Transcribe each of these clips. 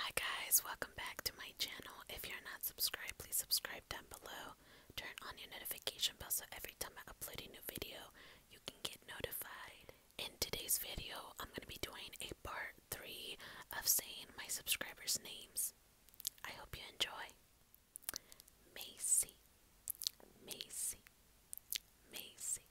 Hi guys, welcome back to my channel. If you're not subscribed, please subscribe down below. Turn on your notification bell so every time I upload a new video, you can get notified. In today's video, I'm going to be doing a part 3 of saying my subscribers' names. I hope you enjoy. Macy, Macy, Macy,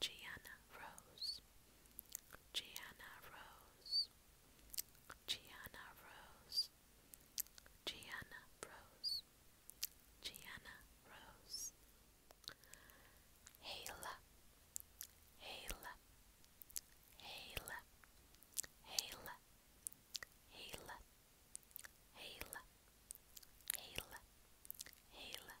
Gianna Rose, Gianna Rose, Gianna Rose, Gianna Rose, Gianna Rose, Hala, Hala, Hala, Hala, Hala, Hala, Hala, Hala,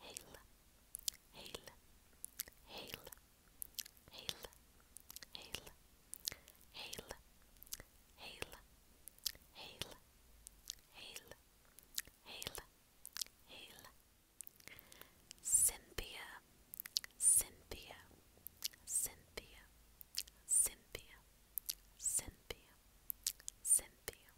hail, hail, hail, hail, hail, hail, hail, hail, hail, hail, hail, Cynthia, Cynthia, Cynthia, Cynthia, Cynthia, Cynthia.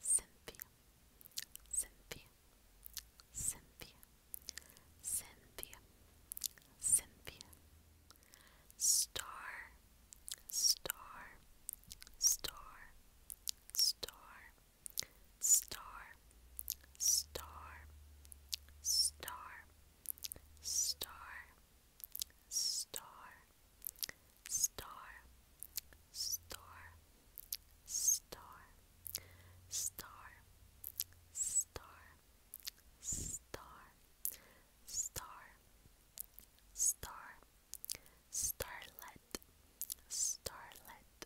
Cynthia, Cynthia, Cynthia, Cynthia, Cynthia, Cynthia, Star, Star, Star, Star, Star, Star, Star, Star, Star star, star, star, star, star, star, star, star, starlet, starlet,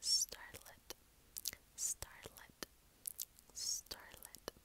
starlet, starlet, starlet,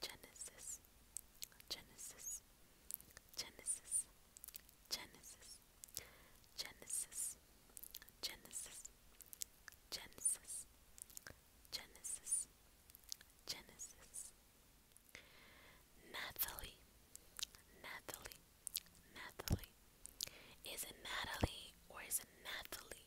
Genesis, Genesis, Genesis, Genesis, Genesis, Genesis, Genesis, Genesis, Genesis. Nathalie, Nathalie, Nathalie. Is it Natalie or is it Nathalie?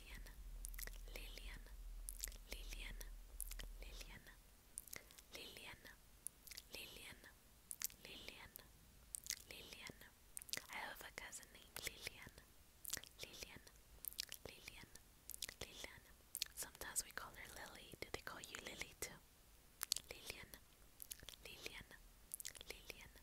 Lillian, Lillian, Lillian, Lillian, Lillian, Lillian, Lillian, Lillian. I have a cousin named Lillian, Lillian, Lillian, Lillian. Sometimes we call her Lily. Do they call you Lily too? Lillian, Lillian, Lillian,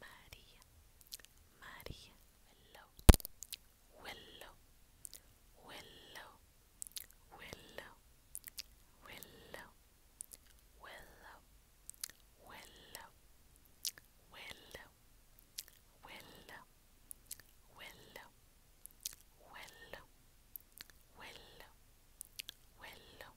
María, María, willow, willow, willow, willow, willow, willow, willow, willow, willow, willow, willow, willow, willow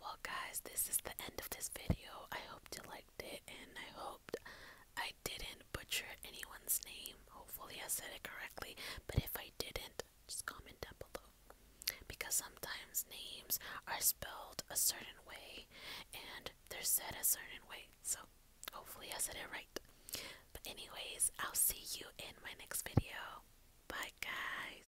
well guys, this is the end of this video. I hope you liked it and I hoped I didn't butcher anyone's name. Hopefully I said it correctly, but if I didn't, just comment down below. Because sometimes names are spelled a certain way and they're said a certain way. So hopefully I said it right. But anyways, I'll see you in my next video. Bye guys.